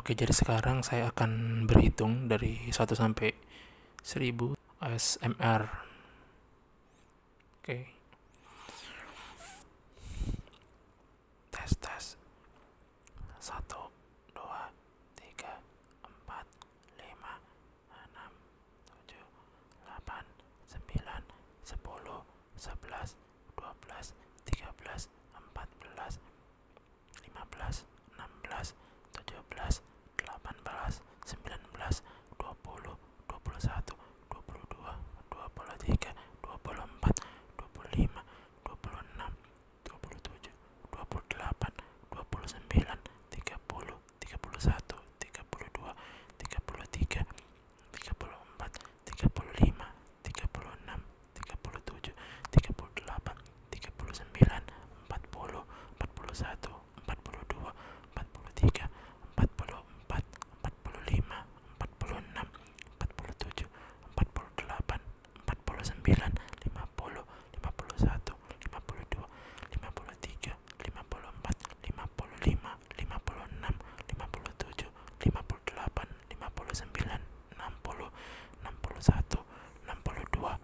Oke, jadi sekarang saya akan berhitung dari 1 sampai 1000 ASMR. Oke. Tes tes. 1 2 3 4 5 6 7 8 9 10 11 12 13 14 15 lima belas, enam belas, tujuh belas, delapan belas, sembilan belas, dua puluh, dua puluh satu, dua puluh dua, dua puluh tiga, dua puluh empat, dua puluh lima, dua puluh enam, dua puluh tujuh, dua puluh delapan, dua puluh sembilan, tiga puluh, tiga puluh satu, tiga puluh dua, tiga puluh tiga, tiga puluh empat, tiga puluh lima tiga puluh enam tiga puluh tujuh tiga puluh delapan tiga puluh sembilan empat puluh empat puluh satu empat puluh dua empat puluh tiga empat puluh empat empat puluh lima empat puluh enam empat puluh tujuh empat puluh delapan empat puluh sembilan lima puluh lima puluh satu lima puluh dua lima puluh tiga lima puluh empat lima puluh lima lima puluh enam lima puluh tujuh lima 101 delapan delapan lima lima puluh puluh puluh puluh puluh puluh puluh puluh puluh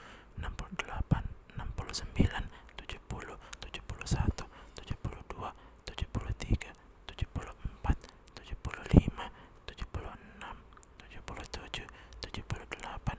puluh puluh puluh puluh sembilan sembilan enam enam enam enam enam enam enam enam enam enam enam satu satu dua tiga empat tujuh tujuh tujuh tujuh puluh dua tujuh puluh tiga tujuh puluh empat tujuh puluh lima tujuh puluh enam tujuh puluh tujuh tujuh puluh delapan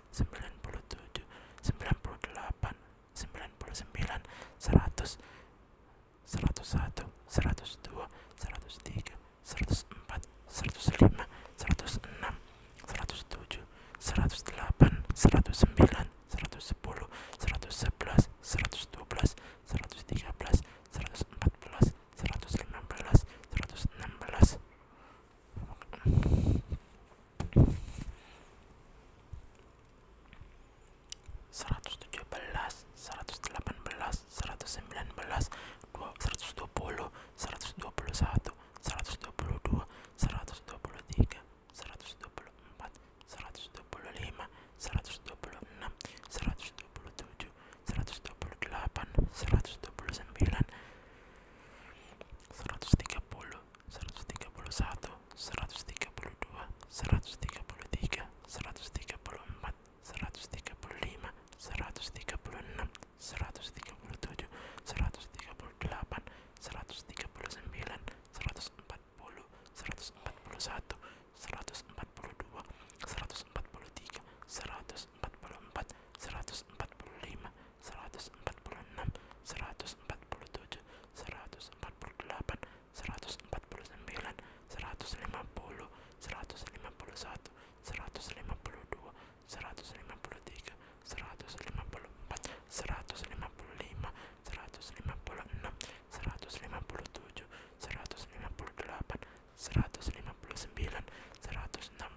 sembilan puluh tujuh, sembilan puluh delapan, sembilan puluh sembilan, seratus, seratus satu, seratus dua, seratus tiga, seratus empat, seratus lima, seratus enam, seratus tujuh, seratus delapan, seratus sembilan, seratus sepuluh, seratus sebelas, seratus dua belas, seratus tiga belas, seratus empat belas, seratus 139 belas, seratus enam belas seratus tujuh belas seratus delapan belas seratus sembilan belas dua seratus dua puluh seratus dua puluh satu seratus dua puluh dua seratus dua puluh tiga seratus dua puluh empat seratus dua puluh lima seratus dua puluh enam seratus dua puluh tujuh seratus dua puluh delapan seratus dua puluh sembilan seratus tiga puluh seratus seratus seratus seratus seratus seratus seratus seratus seratus seratus seratus seratus tiga tiga tiga tiga, tiga tiga tiga tiga tiga tiga puluh puluh puluh puluh puluh puluh puluh puluh puluh puluh, puluh satu, satu, dua, empat, empat empat lima, enam, tujuh, delapan, sembilan, empat puluh dua, seratus empat puluh tiga, seratus empat puluh empat, seratus empat puluh lima seratus seratus seratus seratus seratus seratus seratus seratus seratus seratus seratus empat empat empat empat empat, puluh puluh puluh puluh puluh, puluh puluh puluh puluh puluh puluh enam, tujuh, delapan, sembilan, lima lima lima lima lima lima lima, lima satu, dua, tiga, enam, seratus lima puluh tujuh, seratus lima puluh delapan, seratus lima puluh sembilan, seratus enam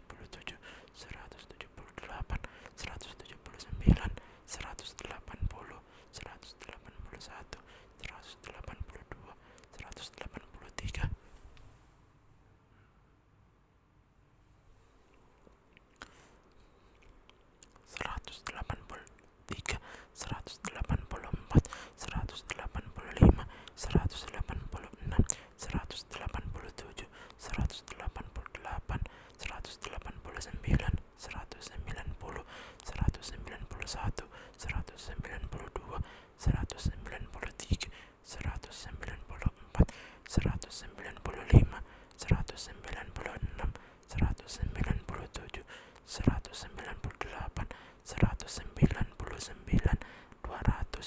seratus seratus seratus seratus seratus seratus seratus tujuh, tujuh puluh puluh puluh, puluh puluh puluh delapan, delapan delapan delapan delapan delapan sembilan, satu, dua, tiga, puluh tiga, seratus delapan puluh empat, seratus delapan puluh lima, seratus delapan puluh enam, seratus seratus seratus seratus seratus seratus seratus seratus seratus seratus delapan delapan delapan, puluh puluh puluh puluh, puluh puluh puluh puluh puluh sembilan, sembilan sembilan sembilan sembilan sembilan sembilan sembilan satu, dua, tiga, empat, lima, enam, seratus sembilan puluh tujuh, seratus sembilan puluh delapan, seratus sembilan puluh sembilan, dua ratus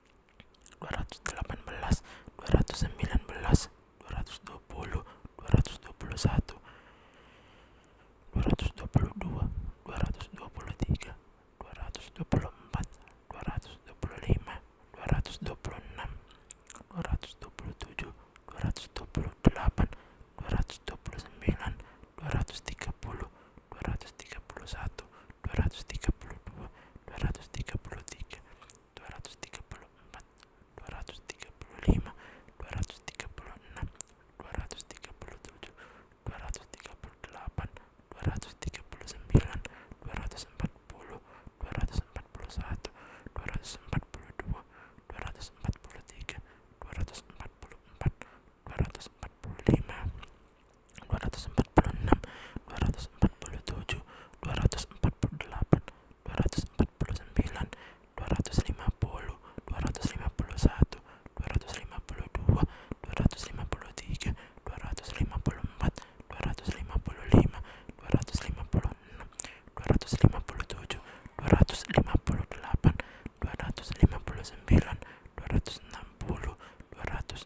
218 219 220 belas, 222 223 sembilan belas, 226 227 dua puluh, 230 231 dua puluh satu, 235 236 dua puluh dua, 300 301 dua puluh tiga, 305 306 dua puluh empat, 310 311 dua puluh lima, 315 316 dua puluh enam, 320 321 dua puluh tujuh, 325 326 dua puluh delapan, 330 331 dua puluh sembilan, 335 336 tiga puluh dua ratus tiga puluh satu, dua ratus tiga puluh dua, dua ratus tiga puluh tiga, dua ratus tiga puluh empat, dua ratus tiga puluh lima, dua ratus tiga puluh enam, dua ratus tiga puluh tujuh, dua ratus tiga puluh delapan, dua ratus tiga puluh sembilan, dua ratus empat puluh, dua ratus empat puluh satu, dua ratus empat puluh dua, dua ratus empat puluh tiga, dua ratus empat puluh empat dua dua dua dua dua dua dua dua dua, dua dua dua dua dua ratus ratus ratus ratus ratus ratus ratus ratus ratus ratus ratus ratus ratus empat empat empat empat empat empat, puluh puluh puluh puluh puluh puluh, puluh puluh puluh puluh puluh puluh lima, lima lima lima lima lima lima lima, lima lima enam, enam, tujuh, delapan, sembilan, satu, tiga, puluh tujuh, dua ratus lima puluh delapan, dua ratus lima puluh sembilan, dua ratus enam puluh, dua ratus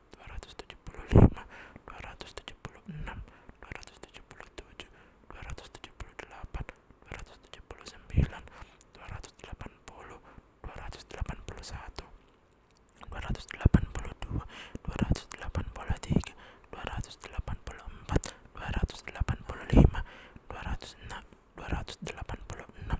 dua dua dua dua dua dua dua dua dua, dua dua ratus ratus ratus ratus ratus ratus ratus ratus ratus ratus tujuh tujuh tujuh tujuh, tujuh tujuh puluh puluh puluh puluh puluh puluh, puluh puluh lima, enam, delapan, delapan delapan delapan delapan sembilan, satu, tiga, delapan puluh empat, dua ratus delapan puluh lima, dua ratus enam, dua ratus delapan puluh enam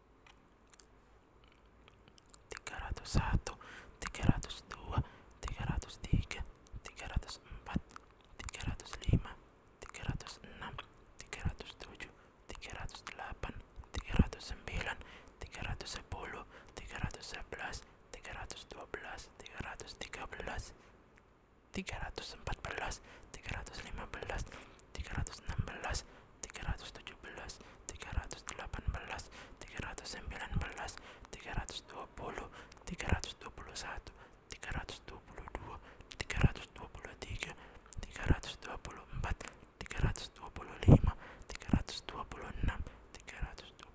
tiga ratus satu tiga ratus dua tiga ratus tiga tiga ratus empat tiga ratus lima tiga ratus enam tiga ratus tujuh tiga ratus delapan tiga ratus sembilan tiga ratus sepuluh tiga ratus sebelas tiga ratus dua belas tiga ratus tiga belas tiga ratus empat belas tiga ratus lima belas tiga tiga tiga tiga tiga tiga tiga tiga tiga, tiga tiga tiga tiga ratus ratus ratus ratus ratus ratus ratus ratus ratus ratus ratus ratus enam enam, belas, belas, belas, belas, tujuh delapan dua dua dua dua, dua dua dua dua dua puluh, puluh puluh puluh puluh puluh puluh satu, empat, lima,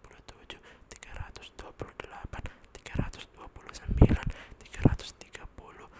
puluh tujuh, tiga ratus dua puluh delapan, tiga ratus dua puluh sembilan, tiga ratus tiga puluh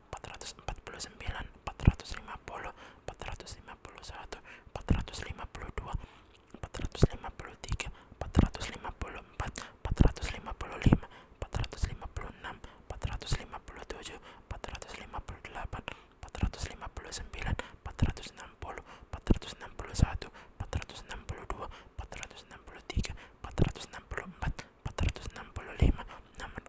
empat ratus empat puluh sembilan, empat ratus lima puluh, empat ratus lima puluh satu, empat ratus lima puluh dua, empat ratus lima puluh tiga, empat ratus lima puluh empat, empat ratus lima puluh lima, empat ratus lima puluh enam, empat ratus lima puluh tujuh, empat ratus lima puluh delapan, empat ratus lima puluh sembilan, empat ratus enam puluh, empat ratus enam puluh satu, empat ratus enam puluh dua, empat ratus enam puluh tiga, empat ratus enam puluh empat, empat ratus enam puluh lima 691,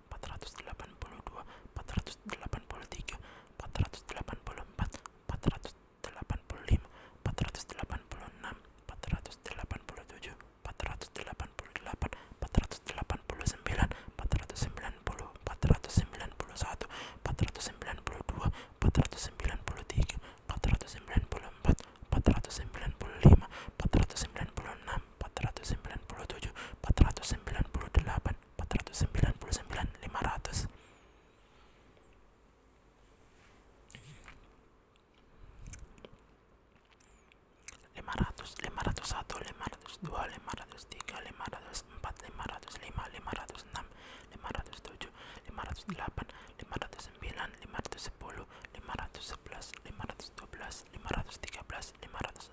empat empat empat empat, empat empat empat empat empat empat empat empat empat ratus ratus ratus ratus ratus ratus ratus ratus ratus ratus ratus ratus delapan delapan delapan delapan delapan delapan delapan delapan, delapan puluh puluh puluh puluh puluh puluh puluh puluh puluh, puluh puluh puluh dua, dua, tiga, tiga, lima, enam, tujuh, sembilan, sembilan sembilan sembilan sembilan satu, empat ratus sembilan puluh empat, empat ratus sembilan puluh lima, empat ratus sembilan puluh enam empat empat empat empat, ratus ratus ratus ratus, ratus ratus ratus ratus ratus ratus ratus ratus ratus sembilan sembilan sembilan sembilan, puluh puluh puluh tujuh, tujuh, delapan, delapan, lima lima lima lima lima lima lima lima, lima lima lima satu, dua, tiga, enam, lima ratus sembilan, lima ratus sepuluh, lima ratus sebelas, lima ratus dua belas, lima ratus tiga belas, lima ratus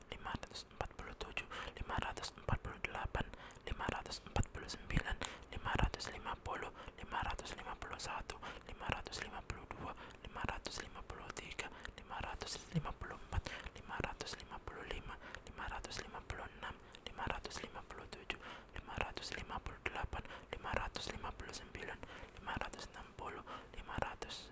lima lima lima lima lima lima lima lima lima lima lima lima lima lima lima lima, lima lima lima lima lima ratus ratus ratus ratus ratus ratus ratus ratus ratus ratus ratus empat empat empat empat, puluh puluh puluh puluh, puluh puluh puluh puluh puluh puluh puluh tujuh, tujuh, delapan, sembilan, satu, dua, tiga, enam, ratus lima puluh delapan, lima ratus lima puluh sembilan, lima ratus enam puluh, lima ratus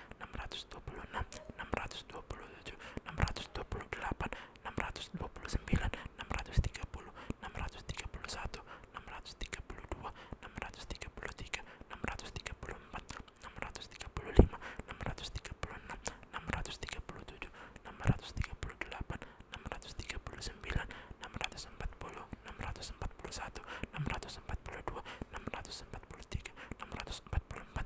enam enam, dua dua dua dua dua, puluh puluh puluh puluh puluh, puluh puluh puluh puluh puluh puluh puluh puluh puluh tujuh, tujuh, delapan, delapan, sembilan, sembilan, tiga tiga tiga tiga tiga, tiga tiga tiga tiga tiga tiga satu, empat, lima, 626 empat puluh 629 630 631 632 633 634 635 636 637 638 639 640 641 empat puluh empat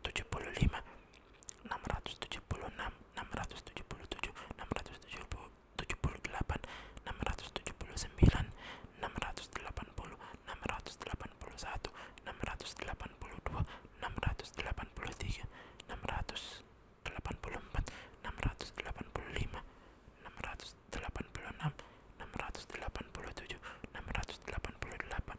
tujuh tujuh tujuh tujuh, tujuh tujuh tujuh puluh puluh puluh puluh puluh puluh puluh, puluh puluh puluh puluh puluh lima, lima, enam enam, enam enam enam enam enam enam enam enam enam enam ratus ratus ratus ratus ratus ratus ratus ratus ratus ratus delapan, delapan delapan delapan delapan delapan delapan sembilan, satu, dua, tiga, empat, ratus delapan puluh enam, enam ratus delapan puluh tujuh, enam ratus delapan puluh delapan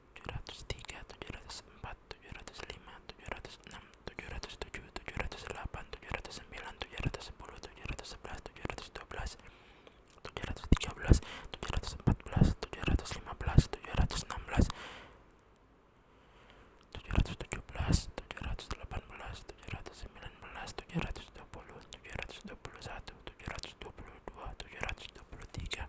tujuh ratus tiga tujuh ratus empat tujuh ratus lima tujuh ratus enam tujuh ratus tujuh tujuh ratus delapan tujuh ratus sembilan tujuh ratus sepuluh tujuh ratus sebelas tujuh ratus dua belas tujuh ratus tiga belas tujuh ratus empat belas tujuh ratus lima belas tujuh ratus enam belas tujuh ratus tujuh belas tujuh ratus delapan belas tujuh ratus sembilan belas tujuh ratus dua puluh tujuh ratus dua puluh satu tujuh ratus dua puluh dua tujuh ratus dua puluh tiga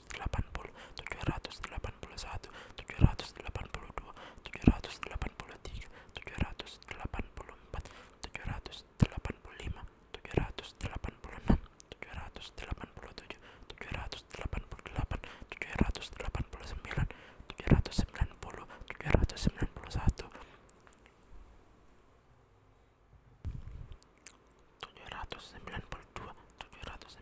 tujuh tujuh tujuh tujuh tujuh tujuh tujuh tujuh tujuh tujuh tujuh tujuh ratus ratus ratus ratus ratus ratus ratus ratus ratus ratus delapan delapan delapan delapan delapan delapan delapan delapan delapan delapan puluh puluh puluh puluh puluh puluh puluh puluh puluh puluh satu dua tiga empat lima enam sembilan 780 781 782 783 784 785 786 787 788 789 790 791 792 793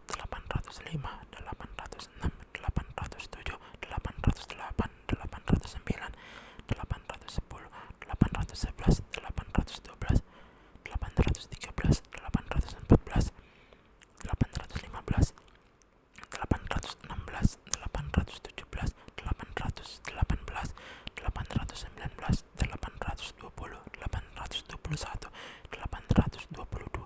delapan ratus lima delapan ratus enam delapan ratus tujuh delapan ratus delapan delapan ratus sembilan delapan ratus sepuluh delapan ratus sebelas delapan ratus dua belas delapan ratus tiga belas delapan ratus empat belas delapan ratus lima belas delapan ratus enam belas delapan ratus tujuh belas delapan ratus delapan belas delapan ratus sembilan belas delapan ratus dua puluh delapan ratus dua puluh satu delapan ratus dua puluh dua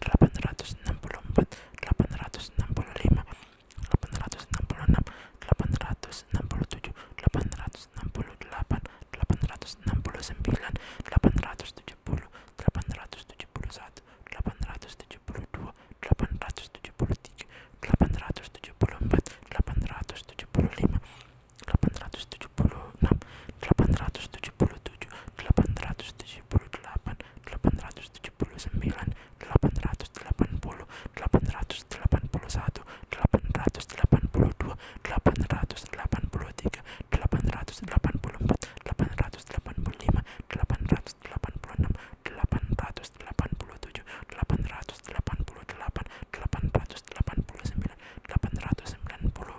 864, ratus enam puluh empat, 869, ratus enam puluh lima, 874, ratus enam puluh enam, 879, ratus enam puluh tujuh, 904, ratus enam puluh delapan, 909, ratus enam puluh sembilan, 914, ratus tujuh puluh, 918, ratus tujuh puluh satu, 923, ratus tujuh puluh dua, 928, ratus tujuh puluh tiga, 933, ratus tujuh puluh empat, 938, ratus tujuh puluh lima, 943, ratus tujuh puluh enam, 948, ratus tujuh puluh tujuh delapan delapan, delapan delapan delapan delapan delapan delapan delapan delapan delapan delapan delapan delapan delapan delapan delapan delapan delapan delapan ratus ratus ratus ratus ratus ratus ratus ratus ratus ratus tujuh tujuh tujuh, puluh puluh puluh, puluh puluh puluh puluh puluh puluh puluh sembilan, satu, dua, tiga, empat, lima, enam, ratus delapan puluh delapan, delapan ratus delapan puluh sembilan, delapan ratus sembilan puluh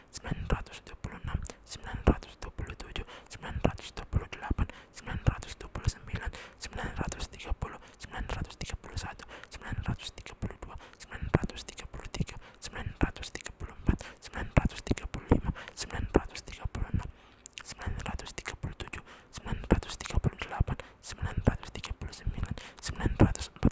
sembilan ratus 939 puluh enam, sembilan ratus 944 puluh tujuh, sembilan ratus 949 puluh delapan, sembilan ratus 954 puluh sembilan, sembilan ratus tiga puluh, sembilan ratus tiga puluh satu, sembilan ratus tiga puluh dua, sembilan ratus tiga puluh tiga, sembilan ratus tiga puluh empat, sembilan ratus tiga puluh lima, sembilan ratus tiga puluh enam, sembilan ratus tiga puluh tujuh, sembilan ratus tiga puluh delapan, sembilan ratus tiga puluh sembilan, sembilan ratus empat.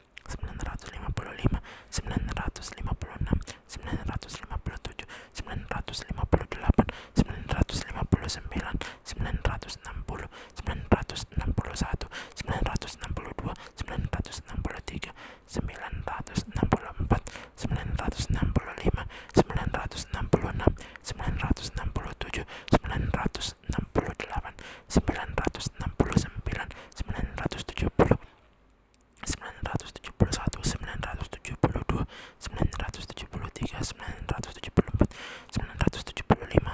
sembilan sembilan sembilan sembilan sembilan sembilan sembilan sembilan sembilan sembilan sembilan sembilan sembilan sembilan ratus ratus ratus ratus ratus ratus ratus ratus ratus ratus ratus ratus ratus lima lima lima lima lima lima lima puluh puluh puluh puluh puluh puluh puluh puluh puluh puluh puluh puluh enam enam enam enam enam enam enam enam enam tujuh delapan satu dua tiga empat enam puluh tujuh sembilan ratus enam puluh delapan sembilan ratus enam puluh sembilan sembilan ratus tujuh puluh sembilan sembilan sembilan sembilan sembilan sembilan sembilan sembilan sembilan sembilan sembilan sembilan ratus ratus ratus ratus ratus ratus ratus ratus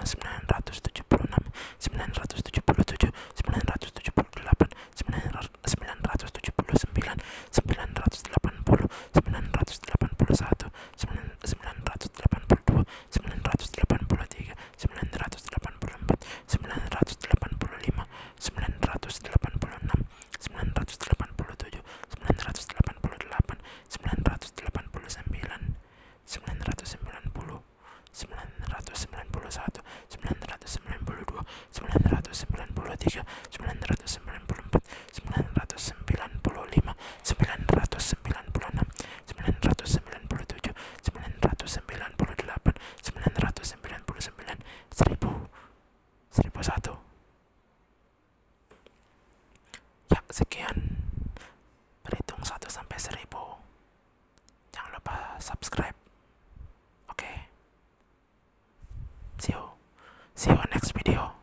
ratus ratus ratus tujuh tujuh tujuh tujuh tujuh tujuh tujuh tujuh tujuh tujuh puluh puluh puluh puluh puluh puluh puluh puluh puluh puluh satu dua tiga empat lima enam delapan delapan 971, 972, 973, sembilan ratus delapan puluh dua sembilan ratus delapan puluh tiga sembilan sembilan sembilan sembilan sembilan sembilan sembilan sembilan sembilan sembilan sembilan sembilan sembilan sembilan sembilan sembilan sembilan sembilan sembilan ratus ratus ratus ratus ratus ratus ratus ratus ratus ratus ratus ratus delapan delapan delapan delapan delapan delapan delapan puluh puluh puluh puluh puluh puluh puluh puluh puluh puluh puluh puluh empat empat lima lima enam tujuh satu dua tiga sembilan ratus sembilan puluh enam sembilan ratus sembilan puluh tujuh sembilan ratus sembilan puluh delapan 999 1000 1001 ya sekian berhitung 1 sampai 1000 jangan lupa subscribe oke see you see you next video